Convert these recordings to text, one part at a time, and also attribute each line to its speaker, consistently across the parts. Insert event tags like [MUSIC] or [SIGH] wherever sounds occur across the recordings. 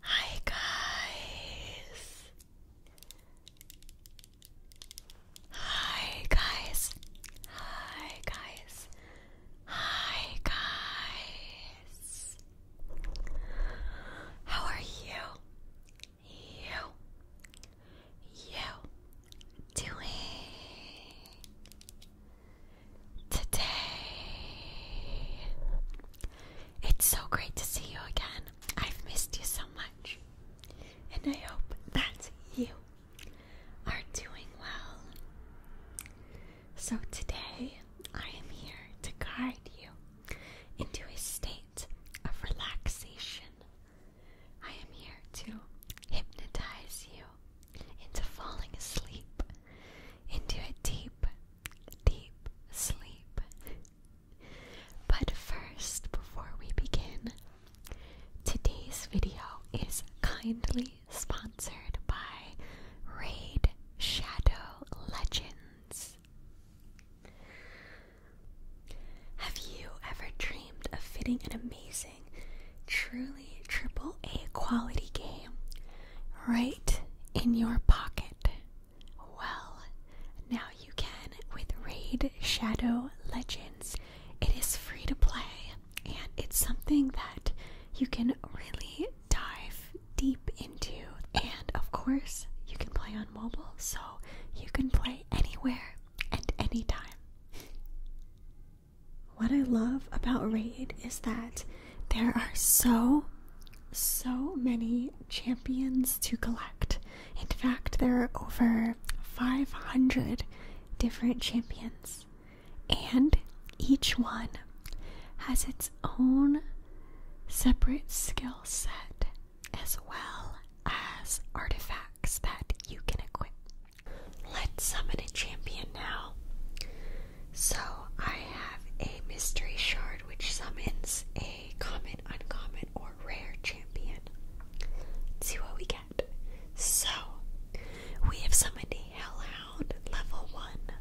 Speaker 1: Hi guys. Hi guys. Hi guys. Hi guys. How are you? You. You doing today? It's so great to see you again. I've missed you so much. And I hope that you are doing well. So today, I am here to guide you into a state of relaxation. I am here to hypnotize you into falling asleep into a deep deep sleep. But first, before we begin, today's video is kindly sponsored by Raid Shadow Legends. Have you ever dreamed of fitting an amazing, truly triple A quality game right in your pocket? Well, now you can with Raid Shadow Legends. It is free to play, and it's something that you can really dive deep into. And of course, you can play on mobile, so you can play anywhere and anytime. What I love about Raid is that there are so, so many champions to collect. In fact, there are over 500 different champions, and each one has its own separate skill set as well as artifacts that you can equip. Let's summon a champion now. So I have a mystery shard which summons a common, uncommon, or rare champion. Let's see what we get. So we have summoned a hellhound level one.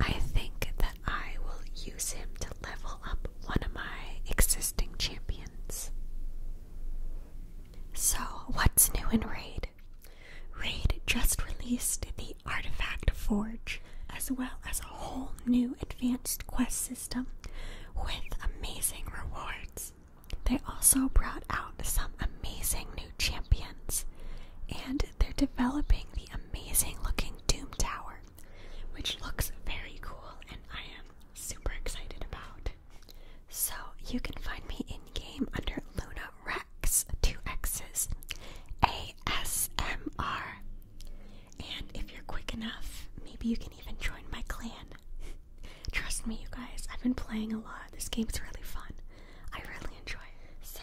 Speaker 1: I think that I will use him to level up one of my existing champions. So, what's new in Raid? Raid just released the artifact forge, as well as a whole new advanced quest system with amazing rewards. They also brought out some amazing new champions, and they're developing the amazing looking Doom Tower, which looks very cool and I am super excited about. So you can find me in game under Luna X, two X's, ASMR. And if you're quick enough, maybe you can even join my clan. [LAUGHS] Trust me, you guys, I've been playing a lot. This game is really fun. I really enjoy it. So,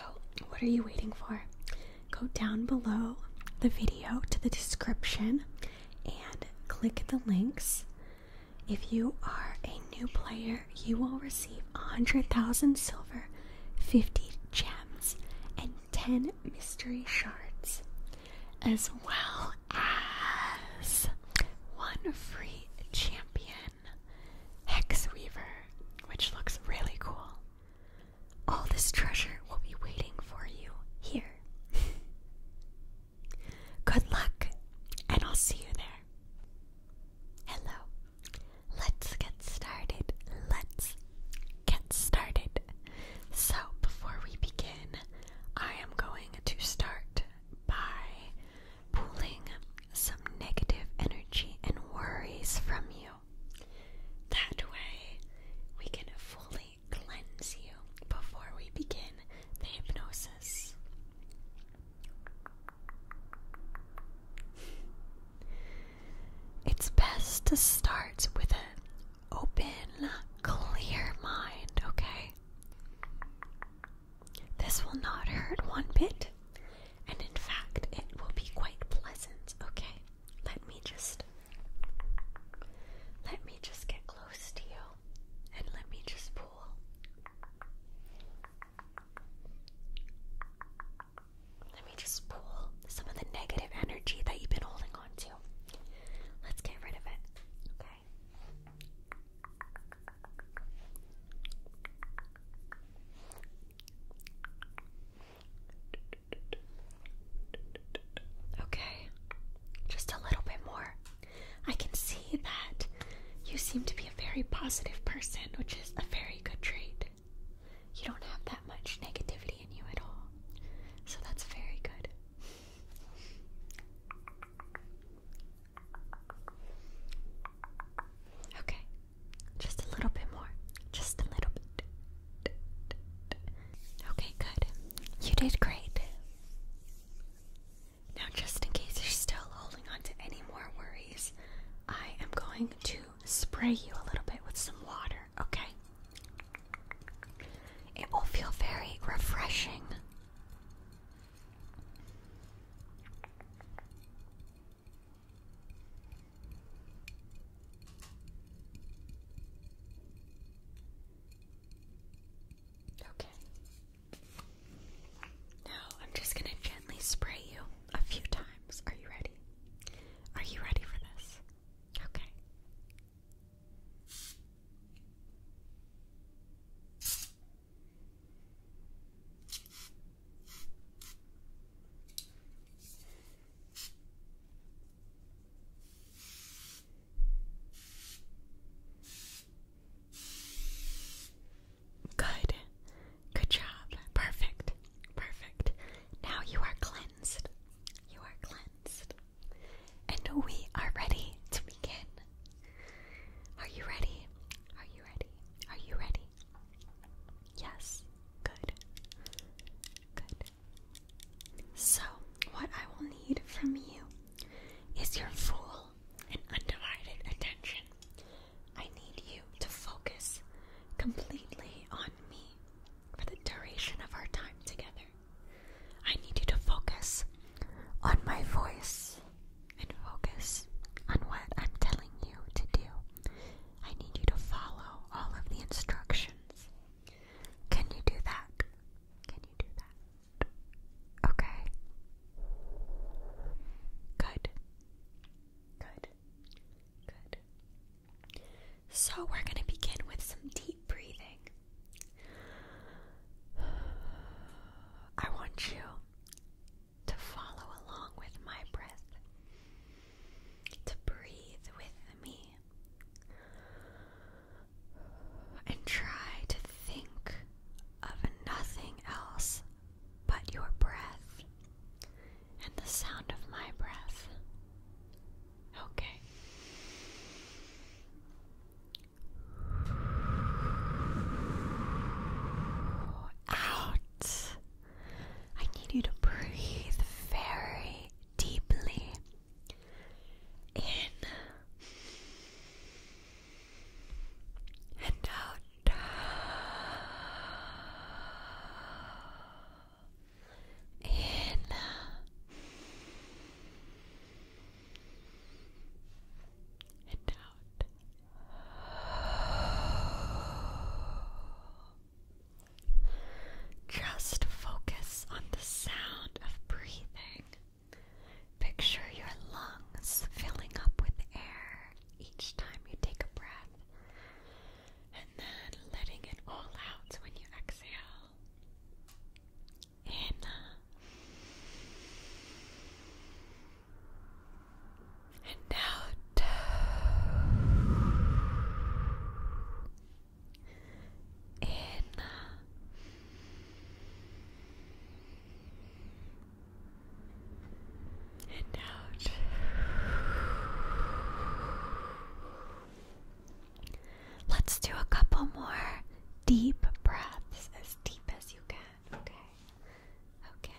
Speaker 1: what are you waiting for? Go down below the video to the description and click the links. If you are a new player, you will receive 100,000 silver 50 gems, and 10 mystery shards, as well as one free champion, Hexweaver, which looks really cool. All this treasure will be waiting for you here. [LAUGHS] Good luck, and I'll see you there. Hello, let's get started. Let's get started. So, before we begin, I am going to start by pulling some negative energy and worries from you. That way, we can fully cleanse you before we begin the hypnosis. It's best to start with an open, clear mind, okay? This will not hurt one bit, and in fact, it will be quite pleasant, okay? Let me just let me just get close to you and let me just pull. Let me just pull some of the negative energy that you've been holding on to. Let's get rid of it. Okay. Okay, just a little bit more. I can see that you seem to be a very positive person, which is a very good trait. You don't have that much negativity in you at all. So that's very good. Okay. Just a little bit more. Just a little bit. Okay, good. You did great. Now, just in case you're still holding on to any more worries, I am going to spray you a little bit with some water, okay? It will feel very refreshing. Okay. Now I'm just going to gently spray you a few times. Are you ready? Are you ready for this? Okay. Good. Good job. Perfect. Perfect. Now you are cleansed. You are cleansed. And we are ready to begin. Are you ready? Are you ready? Are you ready? Yes. Good. Good. So, what I will need from you is your full and undivided attention. I need you to focus completely on me for the duration of our time together. I need you to focus on my voice and focus on what I'm telling you to do. I need you to follow all of the instructions. Can you do that? Can you do that? Okay. Good. Good. Good. So, we're going to begin with some deep breathing. I want you to follow along with my breath, to breathe with me, and try to think of nothing else but your breath and the sound of my breath. Okay. Out. I need you to breathe very deeply. In and out in and out. Just focus on the sound of breathing. Picture your lungs filling up with air each time you take a breath and then letting it all out when you exhale. In and out. In and out. Let's do a couple more deep breaths, as deep as you can. Okay. Okay.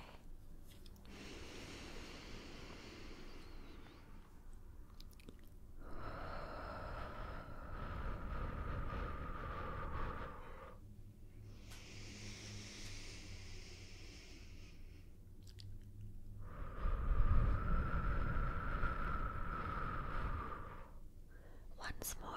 Speaker 1: Once more.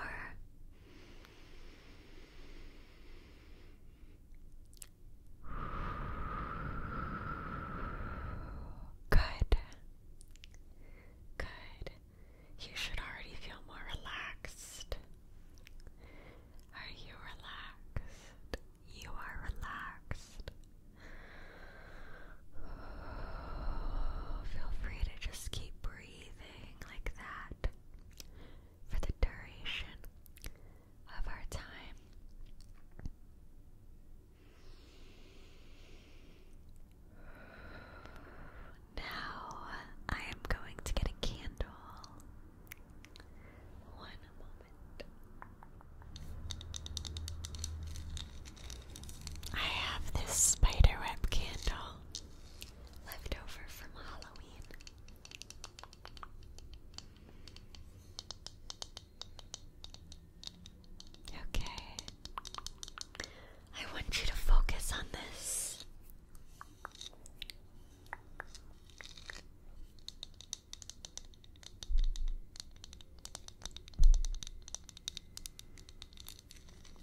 Speaker 1: Good. Good. You should already feel more relaxed. Are you relaxed? you are relaxed. [SIGHS] Feel free to just keep breathing like that for the duration of our time. Now I am going to get a candle one moment. I have this spiderweb candle left over from Halloween. Okay. I want you to focus on this.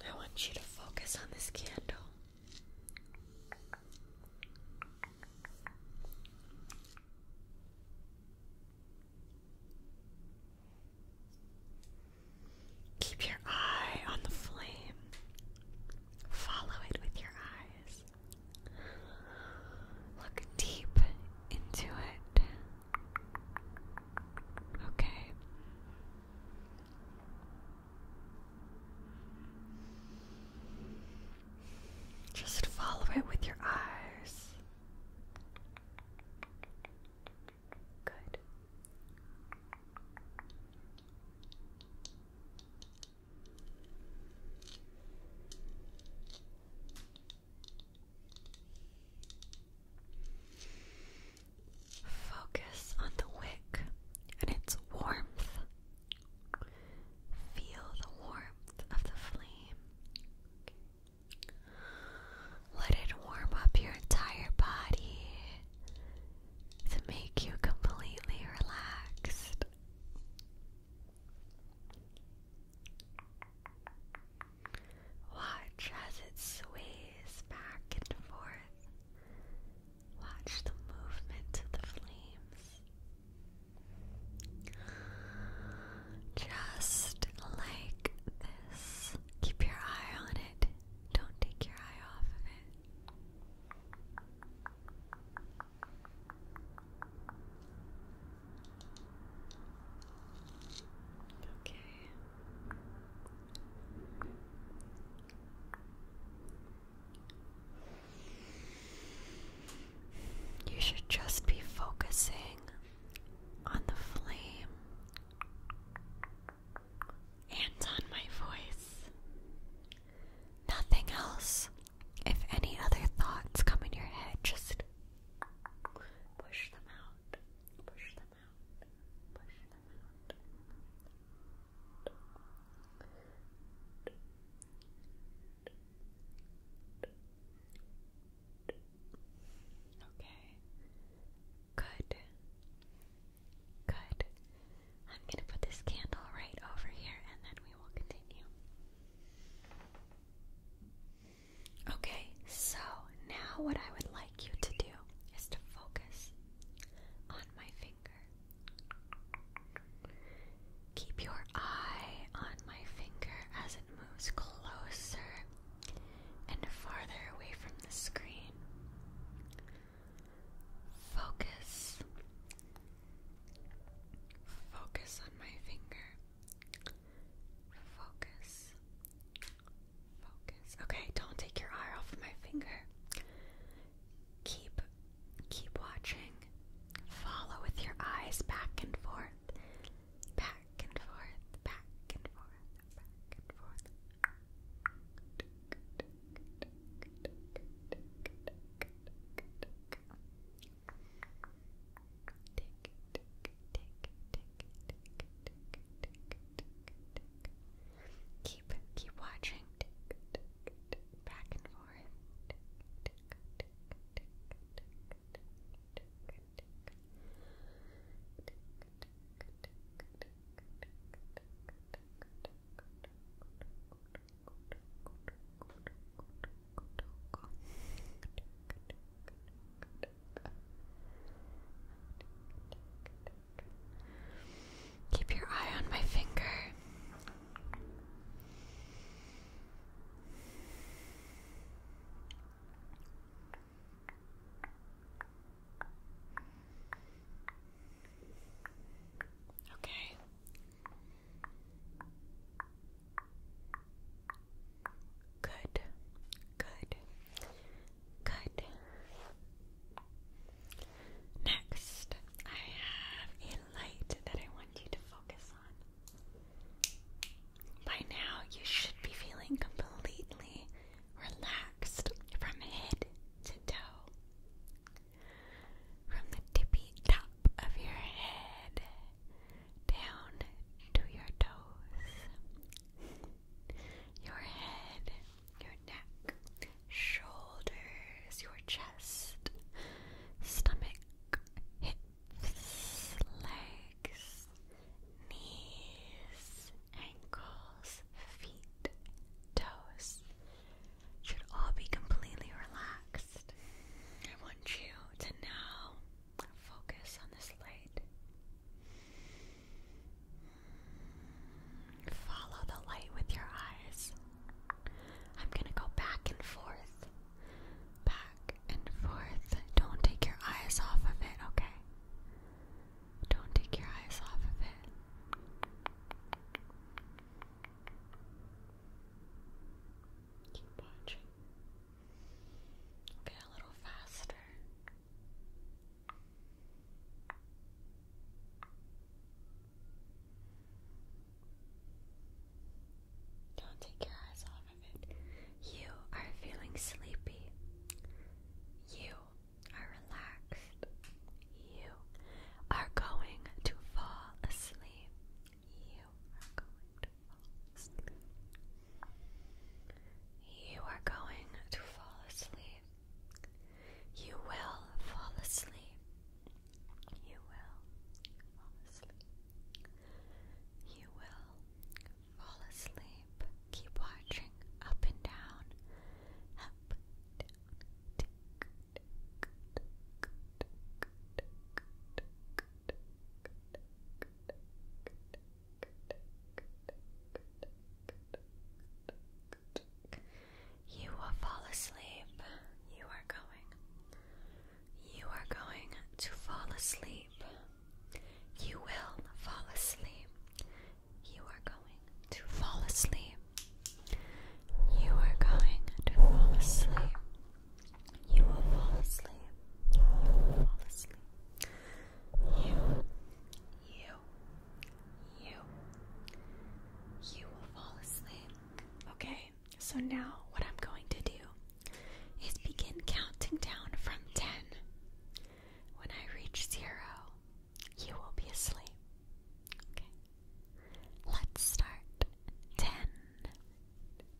Speaker 1: I want you to focus on this candle. Keep your eye on the flame. Follow it with your eyes. Look deep into it. Okay. Just follow it with your eyes. Good. Focus on the wick and its warmth. Feel the warmth of the flame. Let it warm up your entire body to make you completely relaxed. Watch as it sways back and forth. Watch the movement of the flames. Just like this. Keep your eye on it. Don't take your eye off of it. Okay. You should just be focusing on the flame and on my voice. Nothing else. If any other thoughts come in your head, just push them out. Push them out. Push them out. Okay. Good. Good. I'm going to put this candle right over here and then Okay, so now what I would like you to do is to focus on my finger. Keep your eye on my finger as it moves closer and farther away from the screen. Focus. Focus on my finger. Focus. Focus. Okay, don't take your eye off my finger. Keep keep watching. Follow with your eyes back and forth. Back and forth. Back and forth. Back and forth tick, tick, tick, tick, tick, tick, tick, Keep, keep watching. Tick, tick, tick, back and forth. Tick, tick, tick, tick, tick, tick, tick, tick, tick, tick, tick, tick, Keep your eye on my finger. Okay, Good, good, good. Next, I have a light that I want you to focus on. By now, you should be feeling completely relaxed from head to toe. From the tippy top of your head down to your toes, your head, your neck, shoulders, your chest, stomach, hips, legs, knees, ankles, feet, toes should all be completely relaxed. I want you to know Focus on this light. Follow the light with your eyes. I'm going to go back and forth. Back and forth. Don't take your eyes off of it, okay? Don't take your eyes off of it. Keep watching. Okay, a little faster. Don't take your eyes off of it. You are feeling sleepy. You are relaxed. You are going to fall asleep. You are going to. You are going to fall asleep. You will fall asleep. You will fall asleep. You will fall asleep. Keep watching up and down. Up, you will fall asleep. You are going. You are going to fall asleep. You will fall asleep. You are going to fall asleep. You are going to fall asleep. You will fall asleep. You will fall asleep. You, you, you, you will fall asleep. Okay, so now what I'm going to do is begin counting down from 10. When I reach zero, you will be asleep. Okay, let's start. 10,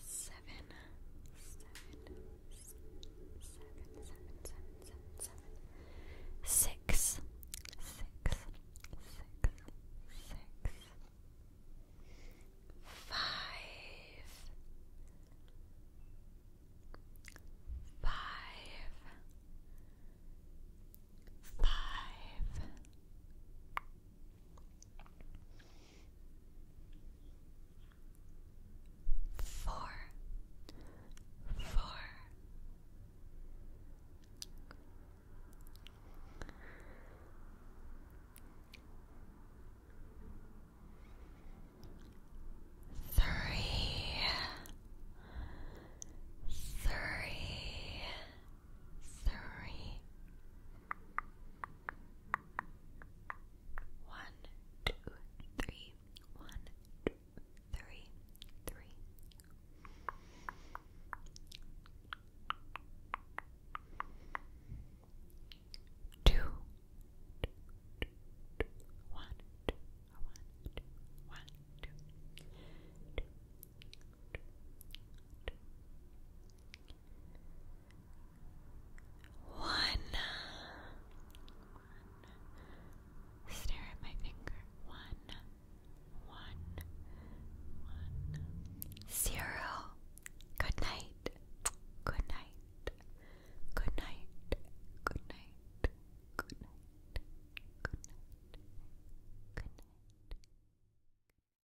Speaker 1: seven, seven, seven, seven, seven, seven, seven, six, six, six, six, five, five, five four, four. Three, three, three, one, two, three, one, two, three, three. Two, two, one. Stare at my finger. One. One. One. Zero. Good night. Good night. Good night. Good night. Good night. Good night. Good night.